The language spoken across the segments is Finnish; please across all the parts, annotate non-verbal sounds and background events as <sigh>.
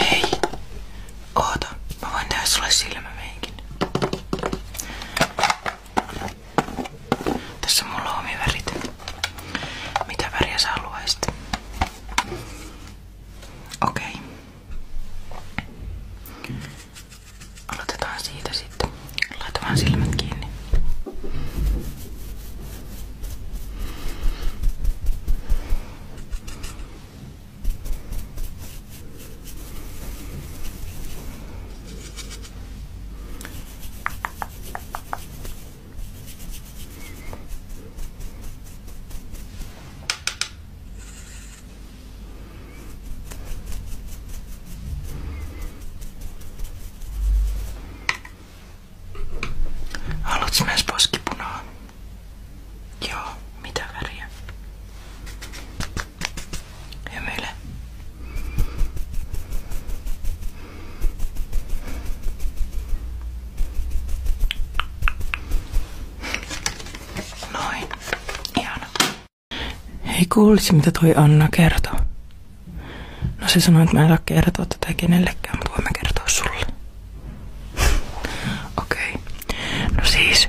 Hei, oota, mä voin tehdä sulle silmämeikin. Tässä mulla on omi värit. Mitä väriä sä haluaisit? Okei. Okay. Aloitetaan siitä sitten. Laita vaan silmät kiinni. Haluatko myös poskipunaa? Joo, mitä väriä? Hymyile. Noin. Ihana. Hei kuulisi mitä toi Anna kertoo. No se sanoi, että mä en saa kertoa tätä kenellekään, mutta voin kertoa sulle. <laughs> Okei. Okay. No siis.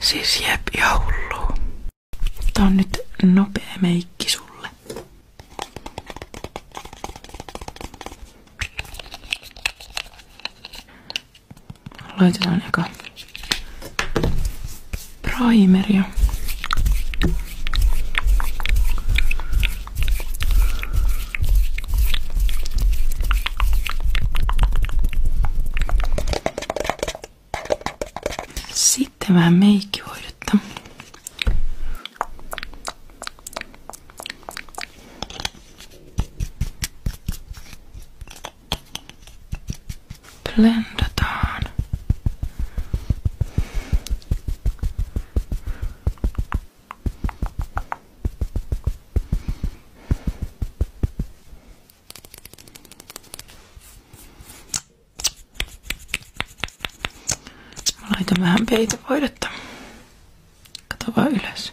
Siis jep ja hullu. Tää on nyt nopea meikki sulle. Laitetaan eka primeria. Sitten vähän meikkihoidetta. Blendataan. Mä laitan vähän peitevoidetta. Kato vaan ylös.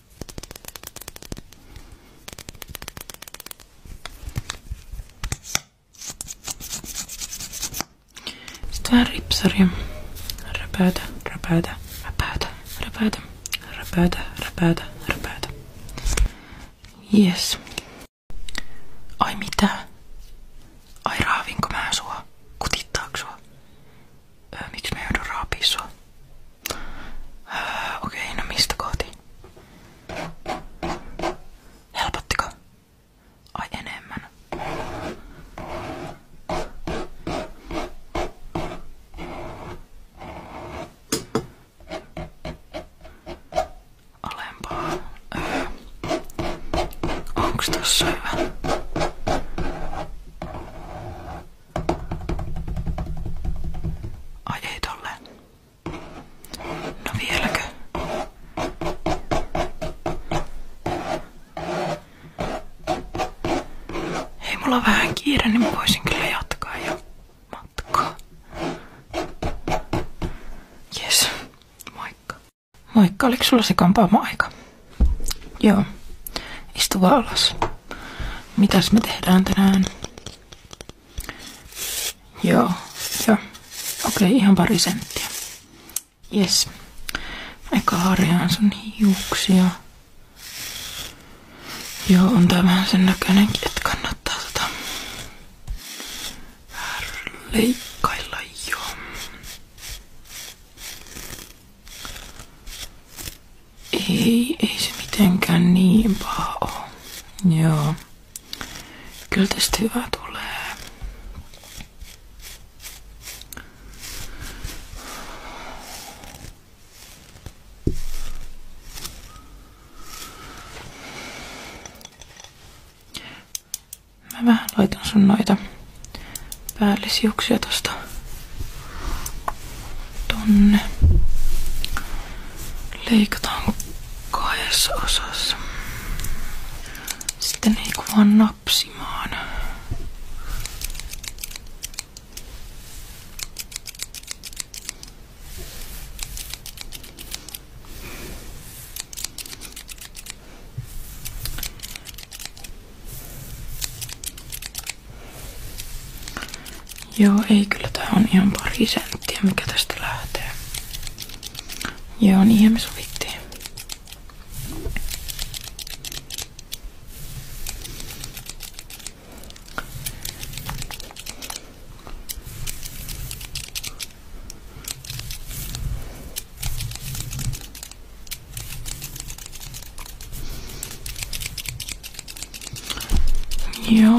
Sitten vähän ripsaria. Räpäytä, räpäytä, räpäytä, räpäytä, räpäytä, räpäytä, räpäytä. Yes. Ai mitä? Ai raavinko mä sua? Kutittaako sua? miksi mä joudun raapii sua? Okei, okay, no mistä kohti? Helpottiko? Ai enemmän. Alempaa. Öö. Onks tossa hyvä? Ai No vieläkö? Hei, mulla vähän kiire, niin mä jatkaa jo matkaa. Jes, moikka. Moikka, oliko sulla se kampaamo aika? Joo, istu vaan alas mitäs me tehdään tänään? Joo, joo. Okei, okay, ihan pari senttiä. Yes. Eka harjaan sun hiuksia. Joo, on tää vähän sen näköinenkin, että kannattaa tota leikkailla joo. Ei, ei se mitenkään niin paha oo. Joo. Kyllä tästä hyvä tulee. Mä vähän laitan sun noita päällisiuksia tosta tonne. Leikataan kahdessa osassa. Sitten ei vaan napsimaan. Joo, ei kyllä tää on ihan pari senttiä, mikä tästä lähtee. Joo, ihan me sovittiin. Ja.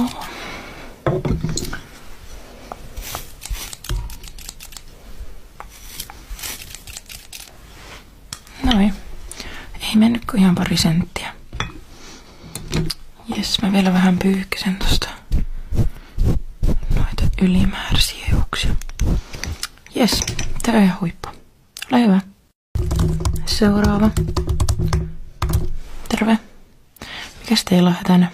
Noin. Niin. Ei mennyt kuin ihan pari senttiä. Jes, mä vielä vähän pyyhkisen tosta noita ylimääräisiä hiuksia. Jes, tää on ihan huippu. Ole hyvä. Seuraava. Terve. Mikäs teillä on hätänä?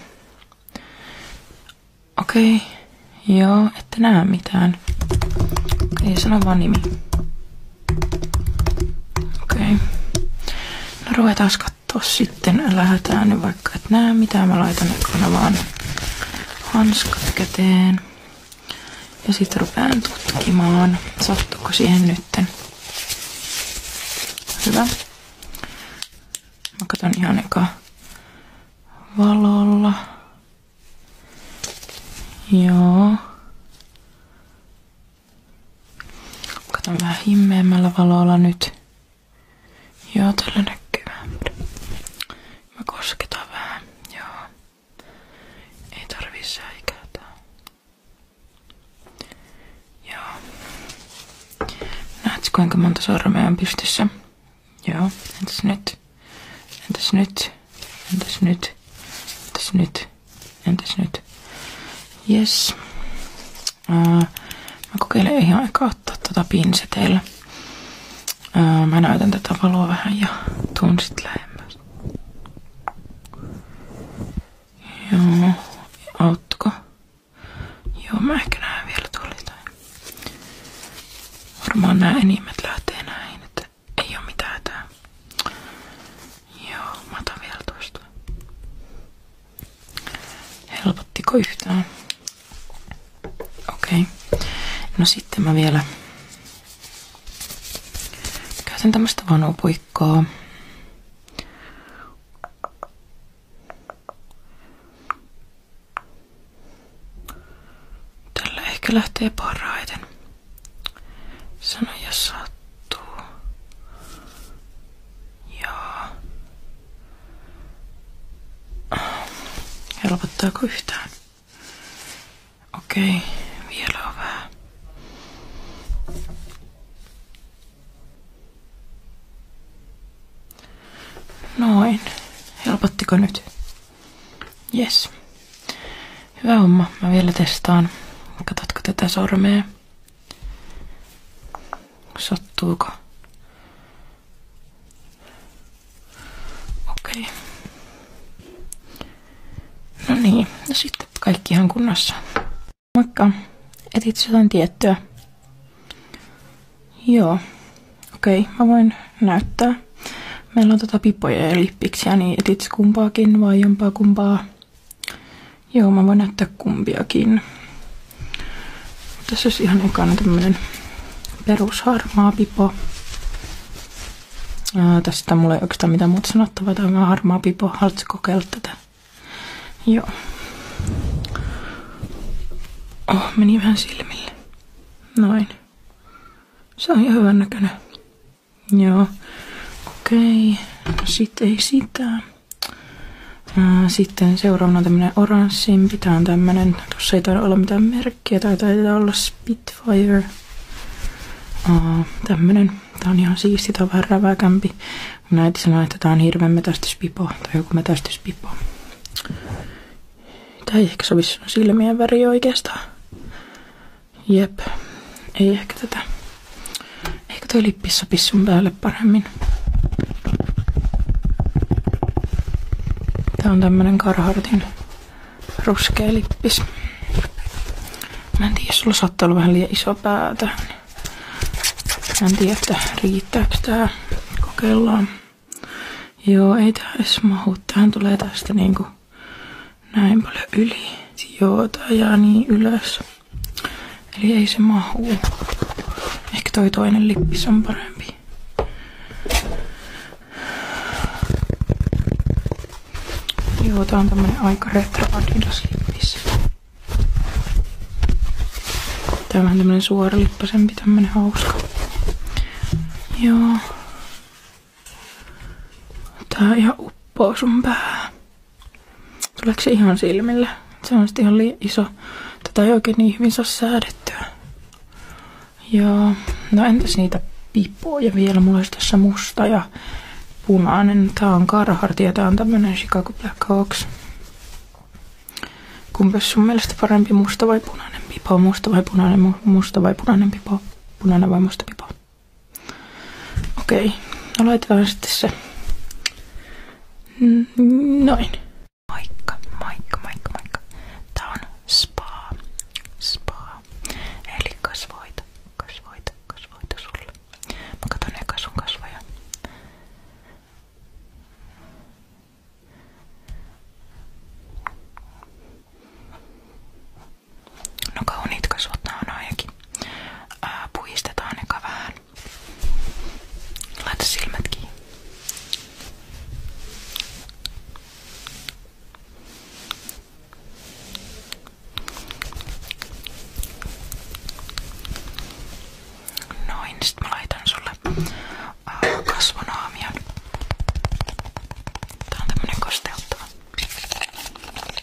Okei. Okay. Joo, ette näe mitään. Okei, okay, sano vaan nimi. Okei. Okay. No ruvetaan kattoo sitten. Lähetään nyt vaikka et näe mitään. Mä laitan ne kanavaan hanskat käteen. Ja sit rupean tutkimaan, sattuuko siihen nytten. Hyvä. Mä katson ihan eka valolla. Joo. Katson vähän himmeämmällä valolla nyt. Joo, tällä näkyy. Mä kosketaan vähän. Joo. Ei tarvii Joo. Näet kuinka monta sormea on pystyssä? Joo. Entäs nyt? Entäs nyt? Entäs nyt? Entäs nyt? Entäs nyt? Yes. mä kokeilen ihan aika ottaa tuota pinseteillä. Öö, mä näytän tätä valoa vähän ja tuun sit lähemmäs. Joo, autko? Joo, mä ehkä näen vielä tuolla jotain. Varmaan nämä enimmät lähtee näin, että ei oo mitään tää. Joo, mä otan vielä toista. Helpottiko yhtään? Okei. Okay. No sitten mä vielä Käytän tämmöstä vanupuikkoa. Tällä ehkä lähtee parhaiten. Sano jos sattuu. Joo. Helpottaako yhtään? Okei, vielä on vähän. Noin. Helpottiko nyt? Yes. Hyvä homma. Mä vielä testaan. Katsotko tätä sormea? Sattuuko? Okei. No niin, no sitten kaikki ihan kunnossa. Moikka. Etit jotain tiettyä? Joo. Okei, okay, mä voin näyttää. Meillä on tota pipoja ja lippiksiä, niin etit kumpaakin vai jompaa kumpaa? Joo, mä voin näyttää kumpiakin. Tässä olisi ihan ekana tämmönen perusharmaa pipo. Ää, tästä mulla ei oikeastaan mitään muuta sanottavaa. Tämä on harmaa pipo. Haluatko kokeilla tätä? Joo. Oh, meni vähän silmille. Noin. Se on ihan hyvän näköinen. Joo. Okei. Okay. Sitten ei sitä. sitten seuraavana on tämmönen oranssimpi. Tää on tämmönen. Tossa ei taida olla mitään merkkiä merkkiä. Tää taitaa olla Spitfire. Aa, tämmönen. Tää on ihan siisti, tää on vähän räväkämpi. Mun äiti sanoi, että tää on hirveän metästyspipo tai joku metästyspipo. Tää ei ehkä sovi sun silmien väri oikeastaan. Jep, ei ehkä tätä. Eikö toi lippi sopi sun päälle paremmin? Tämä on tämmönen Carhartin ruskea lippis. Mä en tiedä, sulla saattaa olla vähän liian iso päätä. Mä en tiedä, että riittääkö tää. Kokeillaan. Joo, ei tää edes mahu. Tähän tulee tästä niinku näin paljon yli. Joo, tää jää niin ylös. Eli ei se mahu. Ehkä toi toinen lippis on parempi. Joo, tää on tämmönen aika retro Adidas lippis. Tää on vähän tämmönen suoralippasempi, tämmönen hauska. Joo. Tää ihan uppoo sun päähän. Tuleeko se ihan silmillä? Se on sitten ihan liian iso. Tätä ei oikein niin hyvin saa säädettyä. Joo. No entäs niitä pipoja vielä? Mulla olisi tässä musta ja punainen. Tää on Carhartt ja tämä on tämmönen Chicago Blackhawks. Kumpas sun mielestä parempi, musta vai punainen pipo? Musta vai punainen, musta vai punainen pipo? Punainen vai musta pipo? Okei, no laitetaan sitten se. Noin. Moikka, moikka, moikka, moikka. Tää on spa. Spa. Eli kasvoita, kasvoita, kasvoita sulle. Mä katon eka sun kasvoja. No kauniit kasvot nää on ainakin. Puistetaan eka vähän. Laita silmät kiinni. Noin, sit mä laitan sulle äh, kasvonaamion. Tää on tämmönen kosteuttava. Noin.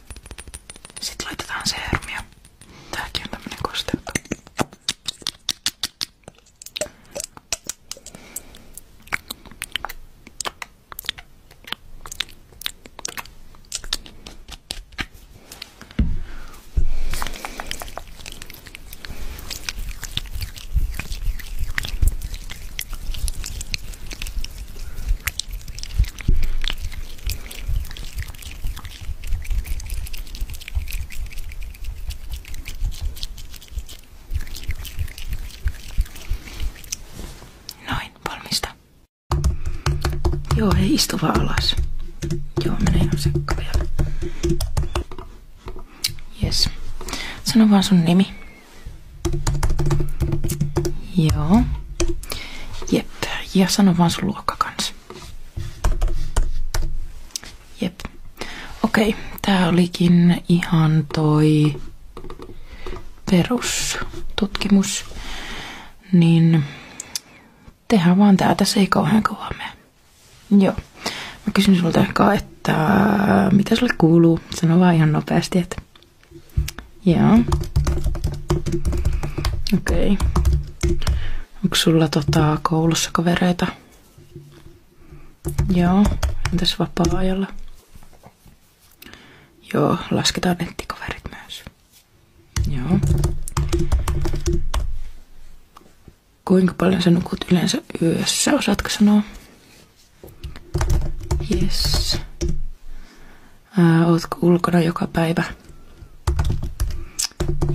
Sitten laitetaan seerumia. Tääkin on tämmönen kosteutta. Noin, valmista. Joo, ei istu vaan alas. Joo, menee ihan sekka vielä. Jes. Sano vaan sun nimi. Joo. Jep. Ja sano vaan sun luokka kanssa. Jep. Okei, tää olikin ihan toi perustutkimus. Niin tehdään vaan tää. Tässä ei kauhean kovaa mene. Joo. Mä kysyn sulta, että mitä sulle kuuluu. Sano vaan ihan nopeasti, että Joo. Okei. Okay. Onko sulla tota, koulussa kavereita? Joo. Entäs vapaa-ajalla? Joo, lasketaan nettikaverit myös. Joo. Kuinka paljon sä nukut yleensä yössä, osaatko sanoa? Yes. Ää, ootko ulkona joka päivä?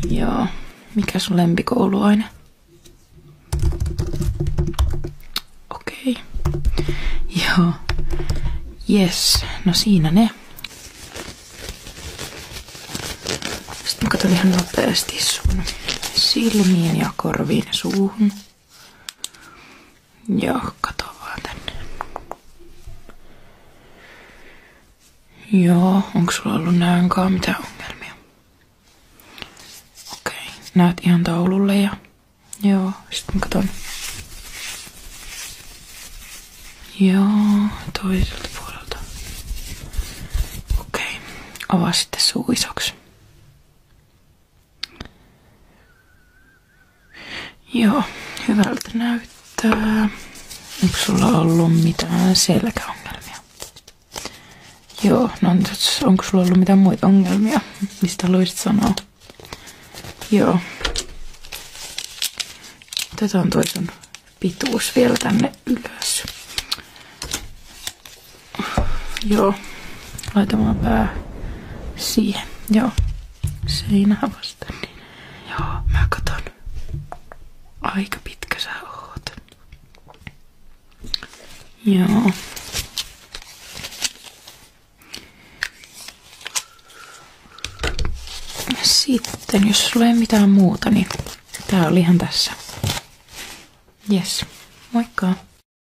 Joo. Mikä sun lempikouluaine? Okei. Okay. Joo. Yes. No siinä ne. Sitten mä katson ihan nopeasti sun silmiin ja korviin ja suuhun. Joo, kato vaan tänne. Joo, onko sulla ollut näönkaan mitään ongelmia? Okei, okay. näet ihan taululle ja... Joo, sitten katon. Joo, toiselta puolelta. Okei, okay. avaa sitten suu isoksi. Joo, hyvältä näyttää. Onko sulla ollut mitään selkäongelmia? Joo, no onko sulla ollut mitään muita ongelmia, mistä haluaisit sanoa? Joo. tätä on sun pituus vielä tänne ylös. Joo. Laitamaan pää siihen. Joo. Seinää vasten. Niin. Joo, mä katon. Aika pitkä sä oot. Joo. Sitten, jos sulla ei mitään muuta, niin tää oli ihan tässä. Yes, moikka!